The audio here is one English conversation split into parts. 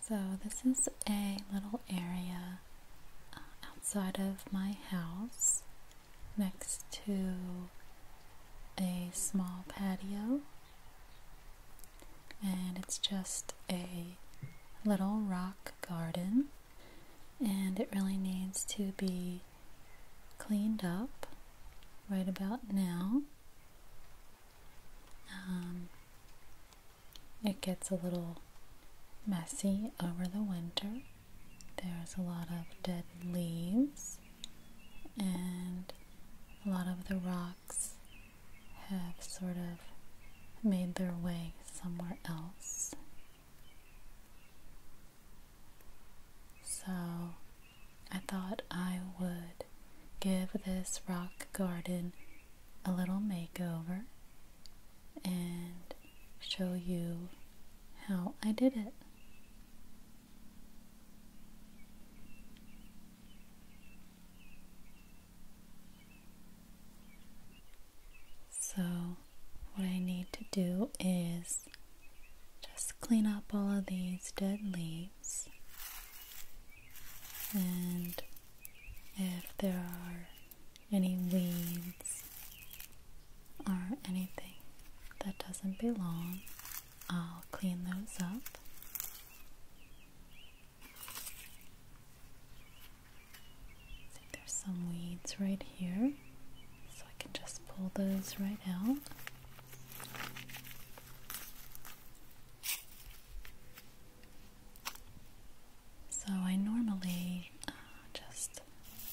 So, this is a little area uh, outside of my house next to a small patio, and it's just a little rock garden, and it really needs to be cleaned up right about now. Um, it gets a little messy over the winter. There's a lot of dead leaves, and a lot of the rocks have sort of made their way somewhere else. So I thought I would give this rock garden a little makeover and show you how I did it. So, what I need to do is just clean up all of these dead leaves and if there are any weeds or anything that doesn't belong, I'll clean those up. See, there's some weeds right here, so I can just pull those right out. So I normally uh, just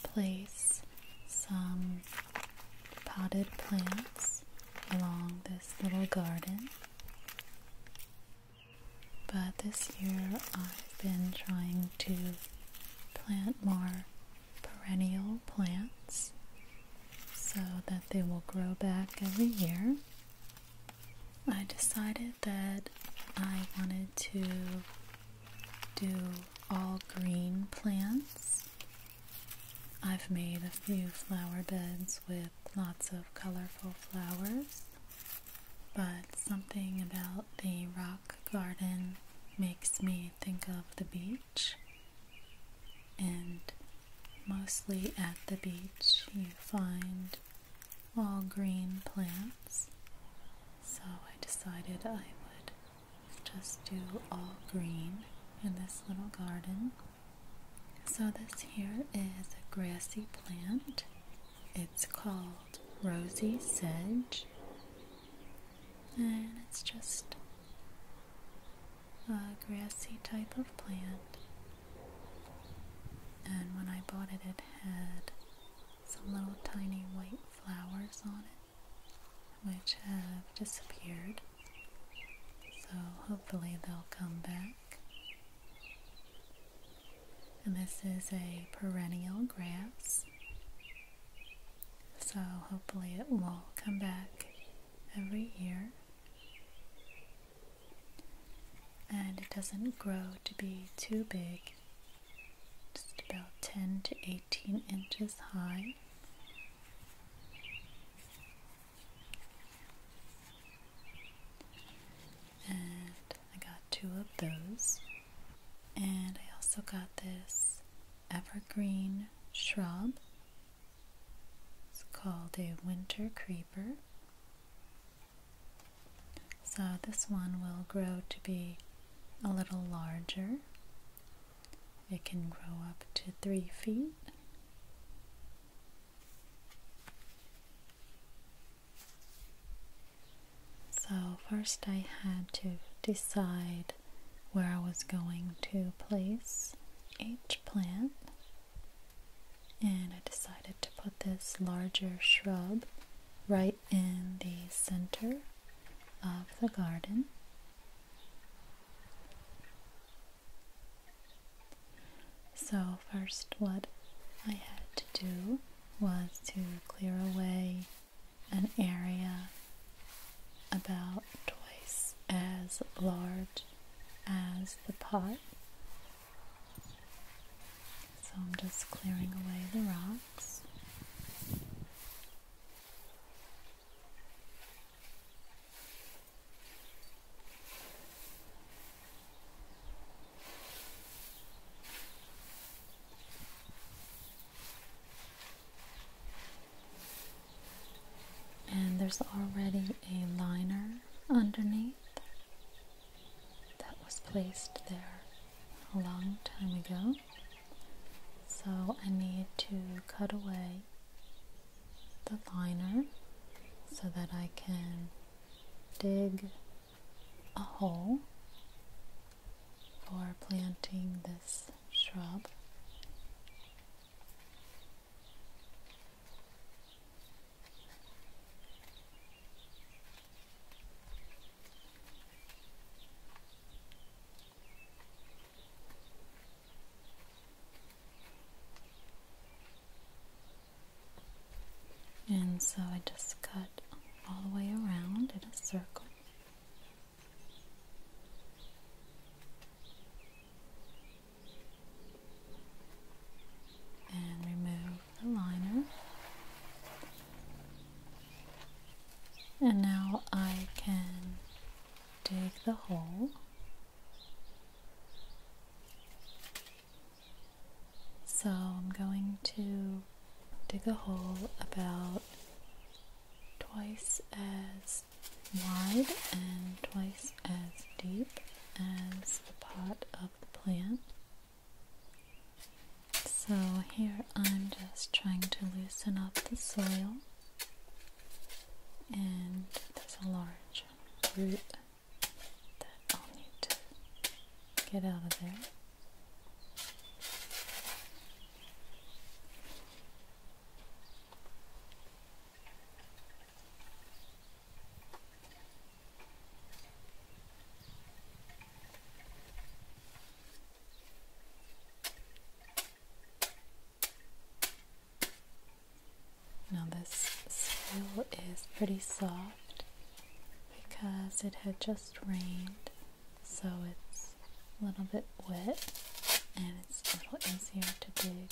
place some potted plants along this little garden. But this year I've been trying to plant more perennial plants so that they will grow back every year I decided that I wanted to do all green plants. I've made a few flower beds with lots of colorful flowers, but something about the rock garden makes me think of the beach and mostly at the beach you find all green plants. So I decided I would just do all green in this little garden. So this here is a grassy plant. It's called rosy sedge. And it's just a grassy type of plant. And when I bought it, it had some little tiny white flowers on it, which have disappeared. So hopefully they'll come back. And this is a perennial grass. So hopefully it will come back every year and it doesn't grow to be too big, just about 10 to 18 inches high. And I got two of those, and I also got this evergreen shrub it's called a winter creeper. So this one will grow to be a little larger. It can grow up to three feet. So first I had to decide where I was going to place each plant. And I decided to put this larger shrub right in the center of the garden. So, first, what I had to do was to clear away an area about twice as large as the pot. So I'm just clearing away the rocks and there's already a liner underneath that was placed there a long time ago so I need to cut away the liner so that I can dig a hole for planting this shrub and so I just cut all the way around in a circle and remove the liner. And now I can dig the hole. So I'm going to dig a hole about twice as wide and twice as deep as the pot of the plant. So here I'm just trying to loosen up the soil, and there's a large root that I'll need to get out of there. Now, this soil is pretty soft because it had just rained, so it's a little bit wet and it's a little easier to dig.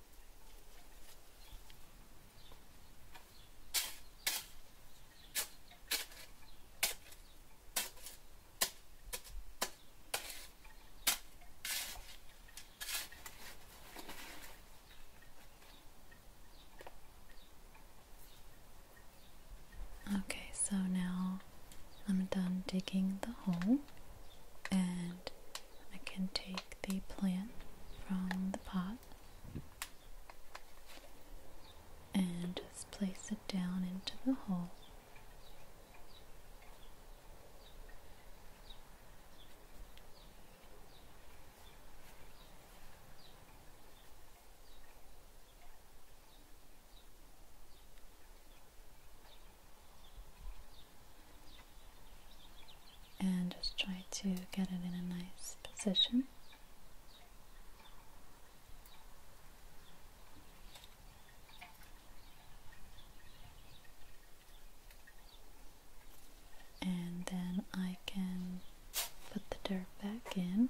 Okay, so now I'm done digging the hole and I can take the plant from the pot and just place it down into the hole. And just try to get it in a nice position. And then I can put the dirt back in.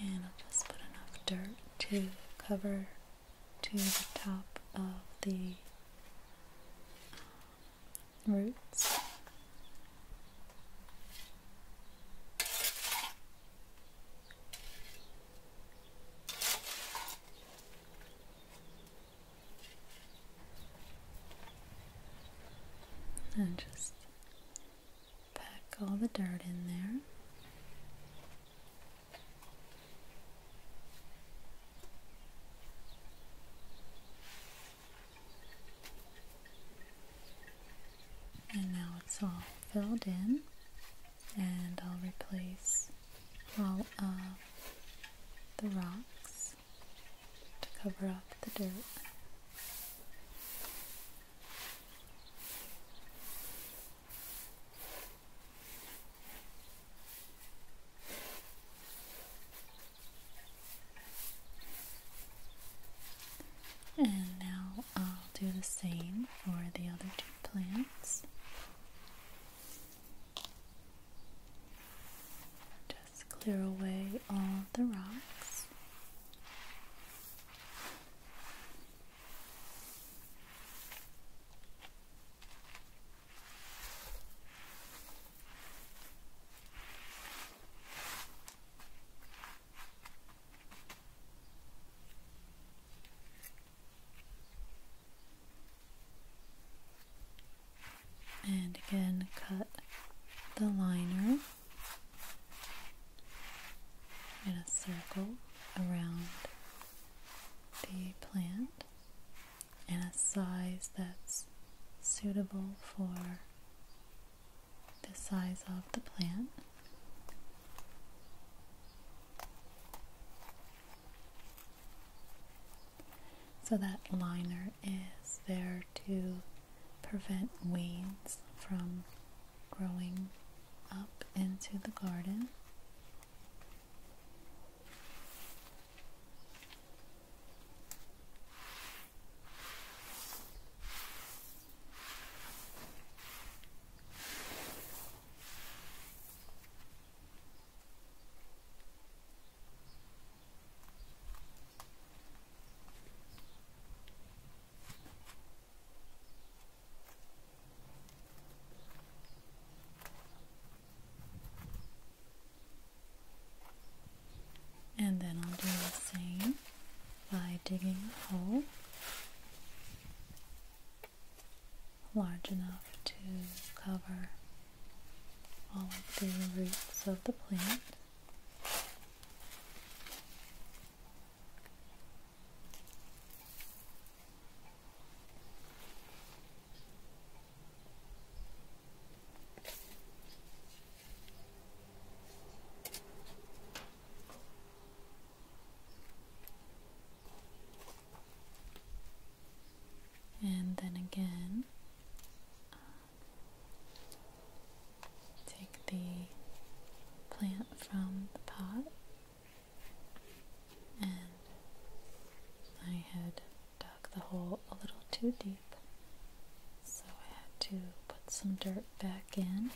And I'll just put enough dirt to cover to the top of the um, roots. And just pack all the dirt in there. And now it's all filled in, and I'll replace all of the rocks to cover up the dirt. And now I'll do the same for the other two plants clear away all the rocks and again cut the liner in a circle around the plant in a size that's suitable for the size of the plant. So that liner is there to prevent weeds from growing up into the garden. And then I'll do the same by digging a hole large enough to cover all of the roots of the plant and then again take the plant from the pot and I had dug the hole a little too deep so I had to put some dirt back in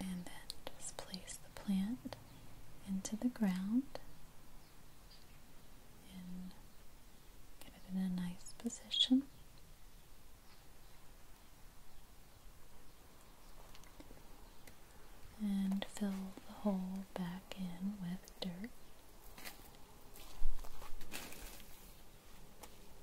and then just place the plant into the ground and it in a nice position. And fill the hole back in with dirt.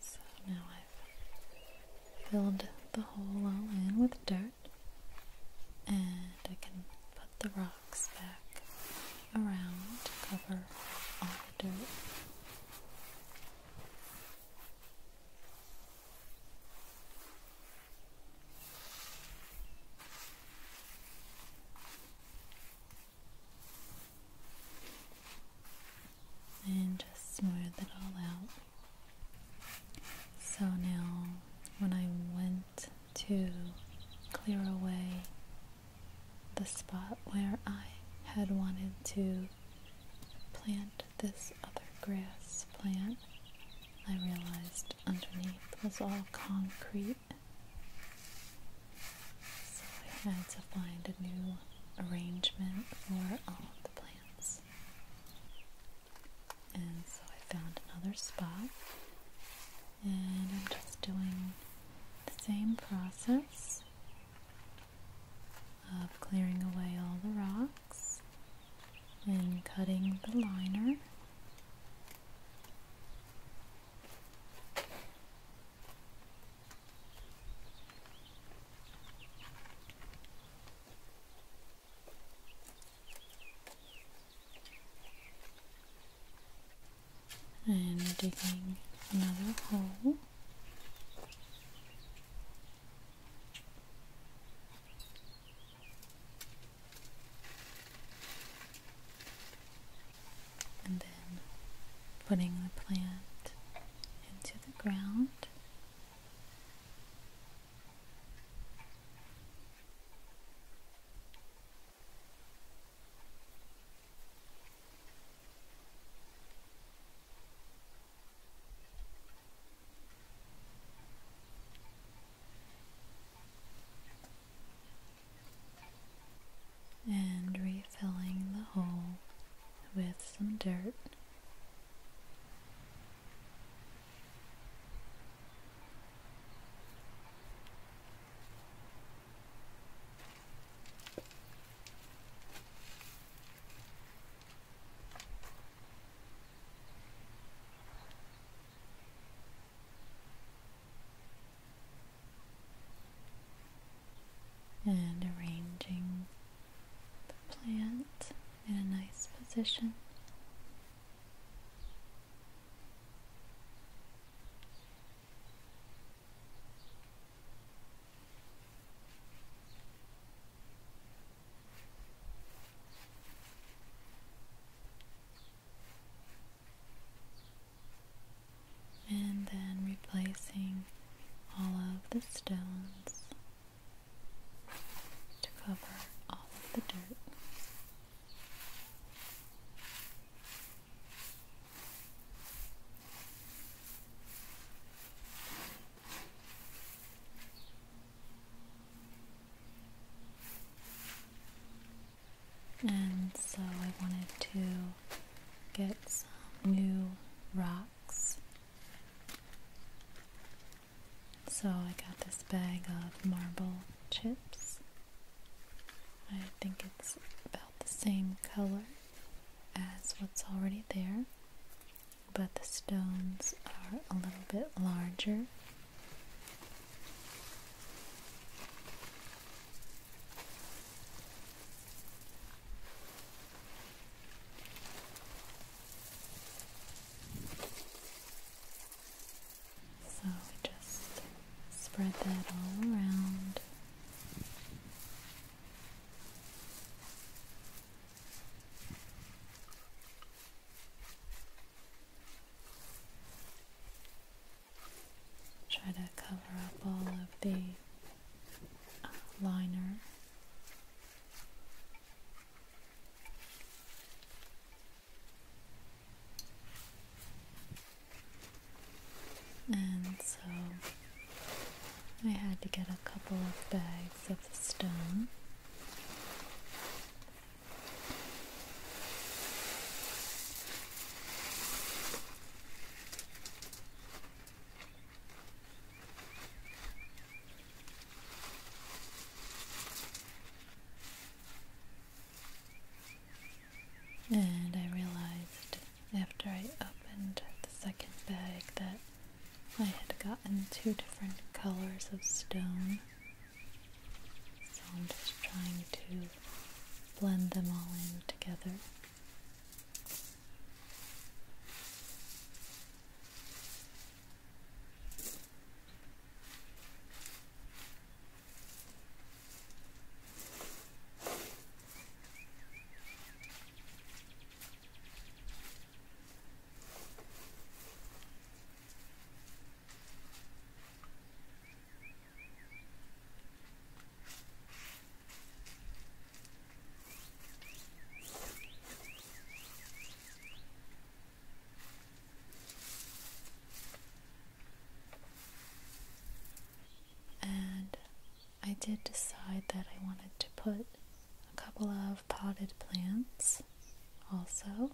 So now I've filled the hole all in with dirt, and I can put the rocks back around to cover all the dirt. And just smooth it all out. So now, when I went to clear away the spot where I had wanted to plant this other grass plant, I realized underneath was all concrete. So I had to find a new arrangement for all of the plants. And so I found another spot. And I'm just doing the same process of clearing away all the rocks and cutting the liner. and digging another hole and then putting the plant into the ground and refilling the hole with some dirt and arranging the plant in a nice position and then replacing all of the stones to cover all of the dirt. And so I wanted to get some new rocks. So I got this bag of marble chips. I think it's about the same color as what's already there, but the stones are a little bit larger so we just spread that all around. Try to cover up all of the uh, liner. And so I had to get a couple of bags of the stone and I realized after I opened the second bag that I had gotten two different colors of stone so I'm just trying to blend them all in together. And I did decide that I wanted to put a couple of potted plants also.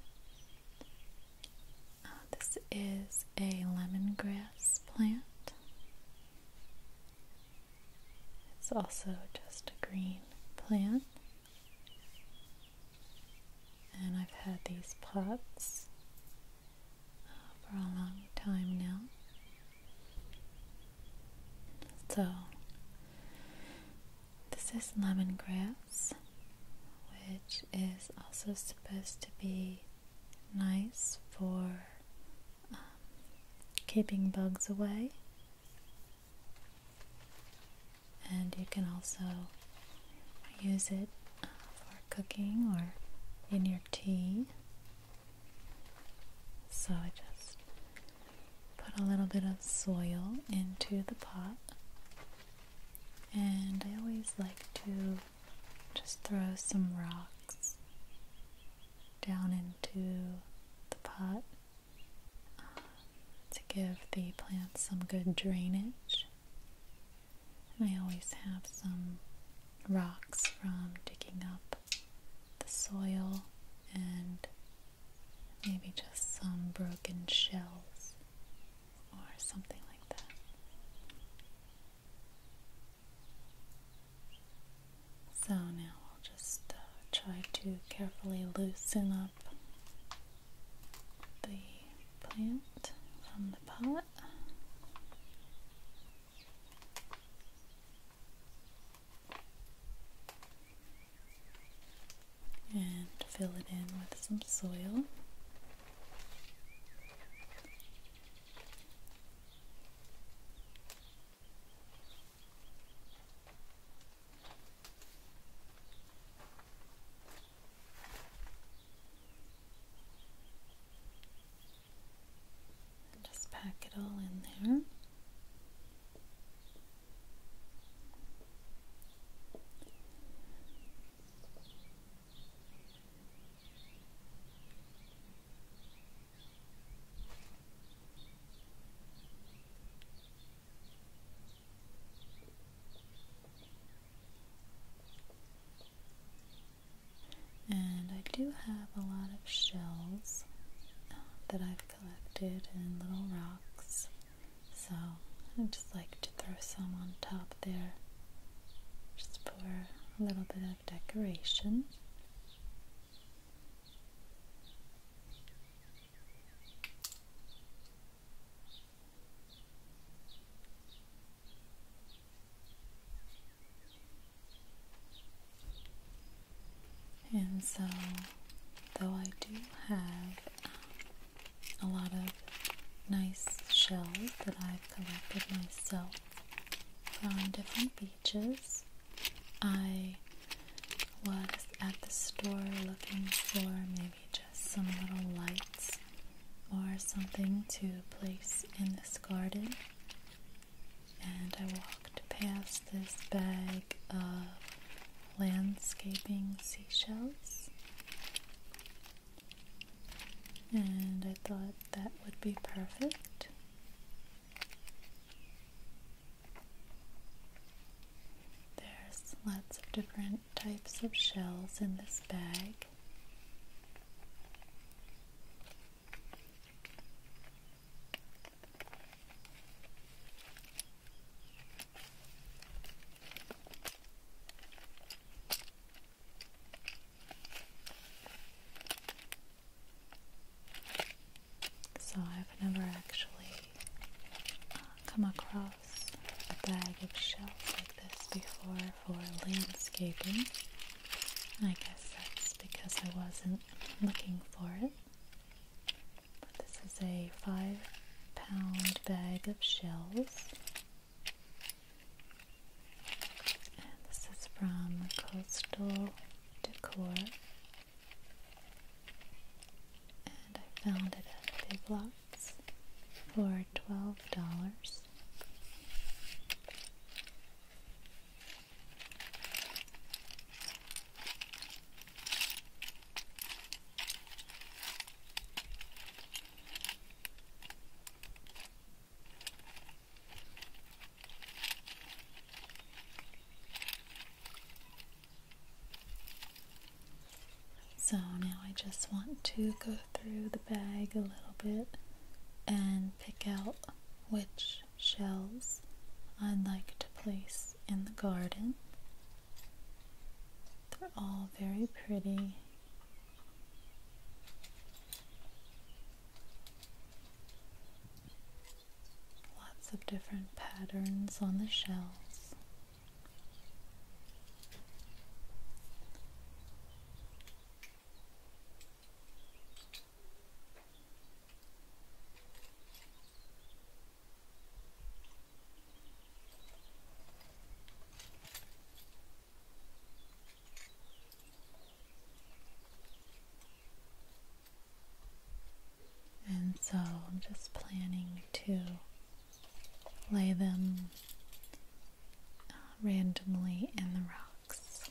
Uh, this is a lemongrass plant. It's also just a green plant. And I've had these pots uh, for a long time now. So this is lemongrass, which is also supposed to be nice for um, keeping bugs away. And you can also use it uh, for cooking or in your tea. So I just put a little bit of soil into the pot and I always like to just throw some rocks down into the pot um, to give the plants some good drainage. I always have some rocks from digging up the soil and Maybe just some broken shells or something like that. So now I'll just uh, try to carefully loosen up the plant from the pot and fill it in with some soil. just pack it all in there. And I do have a lot of shells uh, that I've collected and little rocks so I just like to throw some on top there just for a little bit of decoration. And so, though I do have a lot of nice shells that I've collected myself from different beaches. I was at the store looking for maybe just some little lights or something to place in this garden, and I walked past this bag of landscaping seashells. And I thought that would be perfect. There's lots of different types of shells in this bag. So I've never actually uh, come across a bag of shells like this before for landscaping. I guess that's because I wasn't looking for it. This is a five pound bag of shells. And this is from Coastal Decor. And I found it at Big Lots for $12. So now I just want to go through the bag a little bit and pick out which shells I'd like to place in the garden. They're all very pretty. Lots of different patterns on the shells. And so I'm just planning to lay them uh, randomly in the rocks.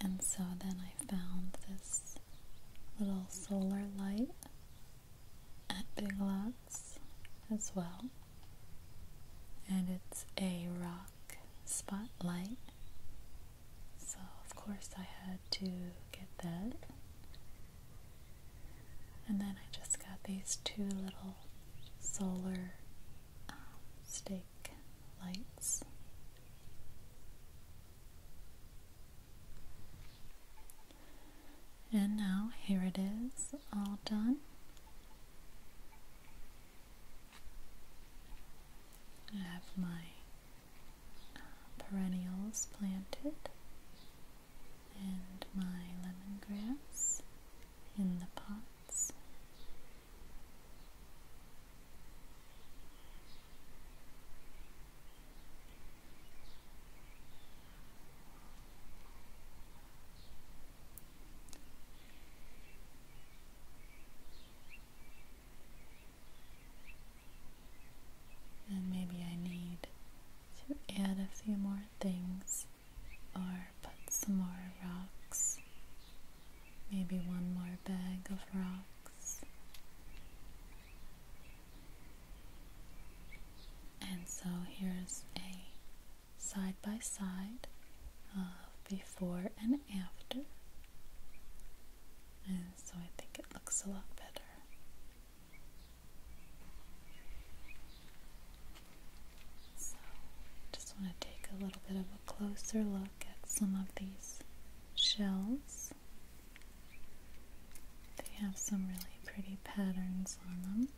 And so then I found this little solar light at Big Lots as well. And it's a rock spotlight. So, of course, I had to get that. And then I just got these two little solar um, stake lights. And now here it is, all done. I have my perennials planted and my lemongrass in the pots. And maybe I need to add a few more things or put some more rocks, maybe one more bag of rocks and so here's a side by side of before and after. And so I think it looks a lot better. So just want to take a little bit of a closer look at some of these shells. They have some really pretty patterns on them.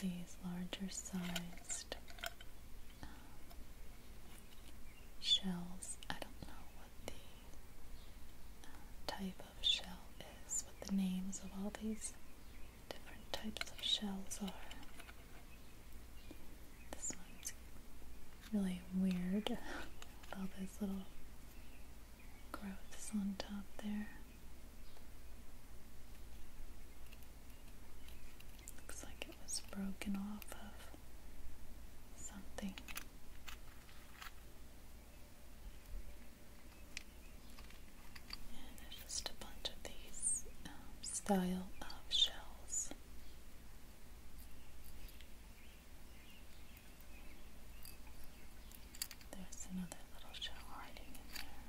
these larger sized um, shells. I don't know what the uh, type of shell is, what the names of all these different types of shells are. This one's really weird with all those little growths on top there. Looks like it was broken off of something there's just a bunch of these um, style of shells. There's another little shell hiding in there.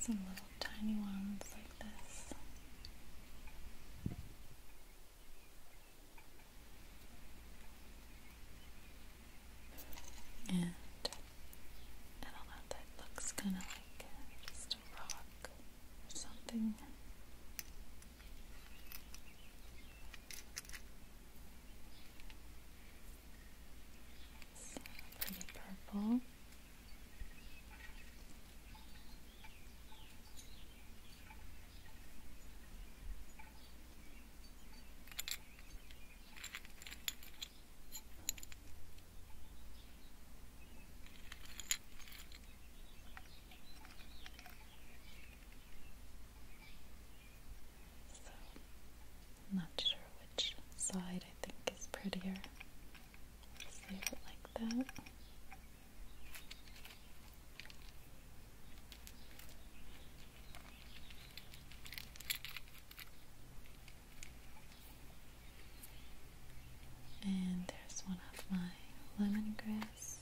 Some little tiny ones like this. And I do looks kind of like uh, just a rock or something. It's uh, pretty purple. I'm not sure which side I think is prettier. Save it like that. And there's one of my lemongrass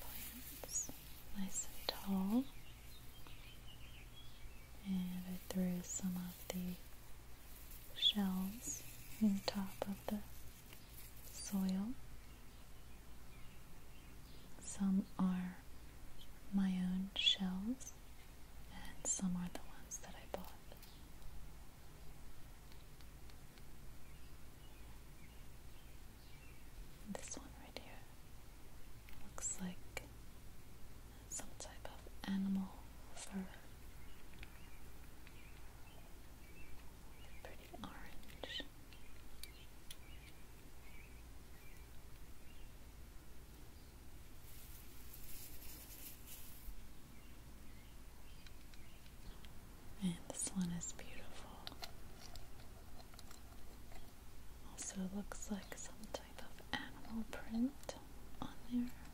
plants, nice and tall. And I threw some of the shells on top of the soil. Some are my own shells, and some are the ones that I bought. This one right here looks like some type of animal fur. Pretty orange it. this one is beautiful. Also looks like some type of animal print on there.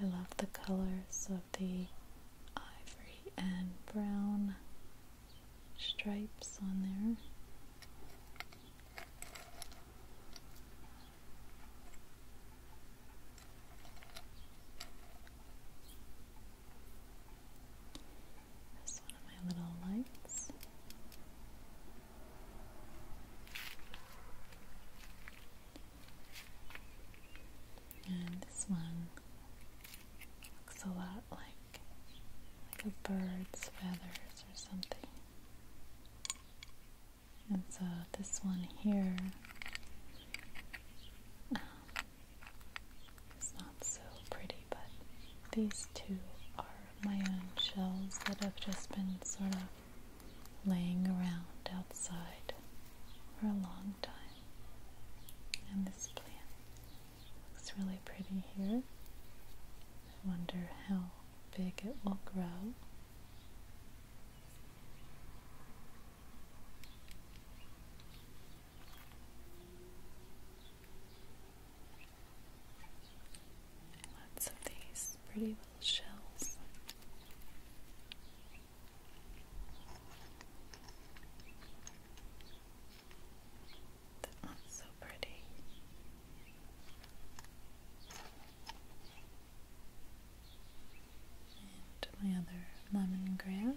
I love the colors of the ivory and brown stripes on there. one of my little lights. And this one looks a lot like a bird's feathers or something. And so this one here um, is not so pretty, but these two are my own shells that have just been sort of laying around outside for a long time. And this plant looks really pretty here. I wonder how big it will grow. Lots of these pretty little shells. That one's so pretty. And my other lemongrass.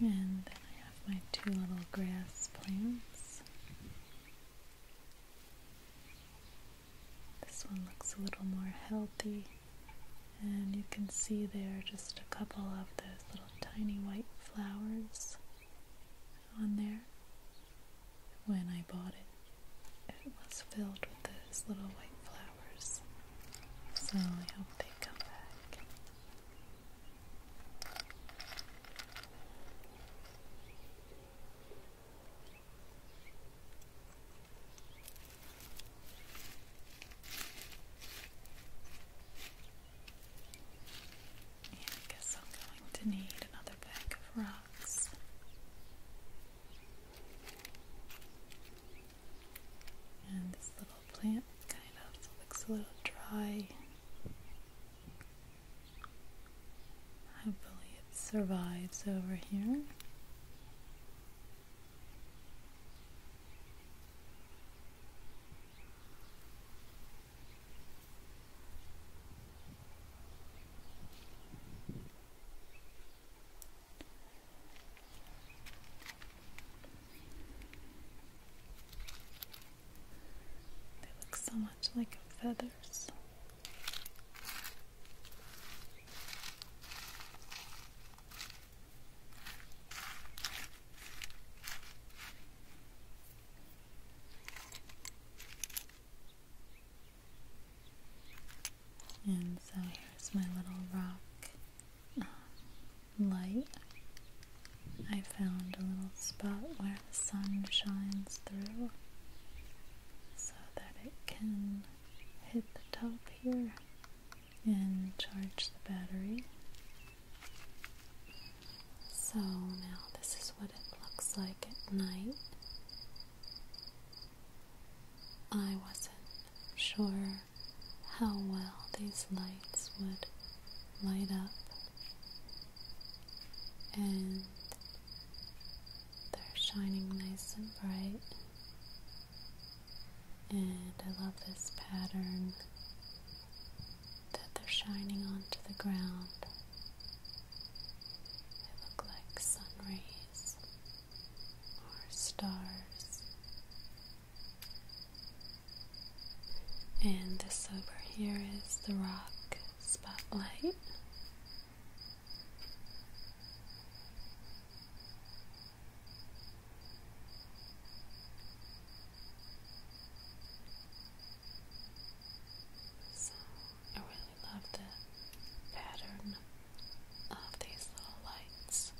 And then I have my two little grass plants. This one looks a little more healthy. And you can see there just a couple of those little tiny white flowers on there. When I bought it, it was filled with those little white flowers. So I hope they come back. And I guess I'm going to need another bag of rocks. And this little plant kind of looks a little dry. Hopefully, it survives over here. They look so much like feathers. And so here's my little rock um, light. I found a little spot where the sun shines through so that it can hit the top here and charge the battery. So now this is what it looks like at night. I wasn't sure how well these lights would light up and they're shining nice and bright and I love this pattern that they're shining onto the ground. They look like sun rays or stars. And this over here is the rock spotlight. So I really love the pattern of these little lights.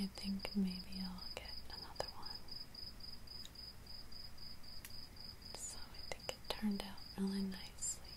I think maybe I'll get another one. So I think it turned out really nicely.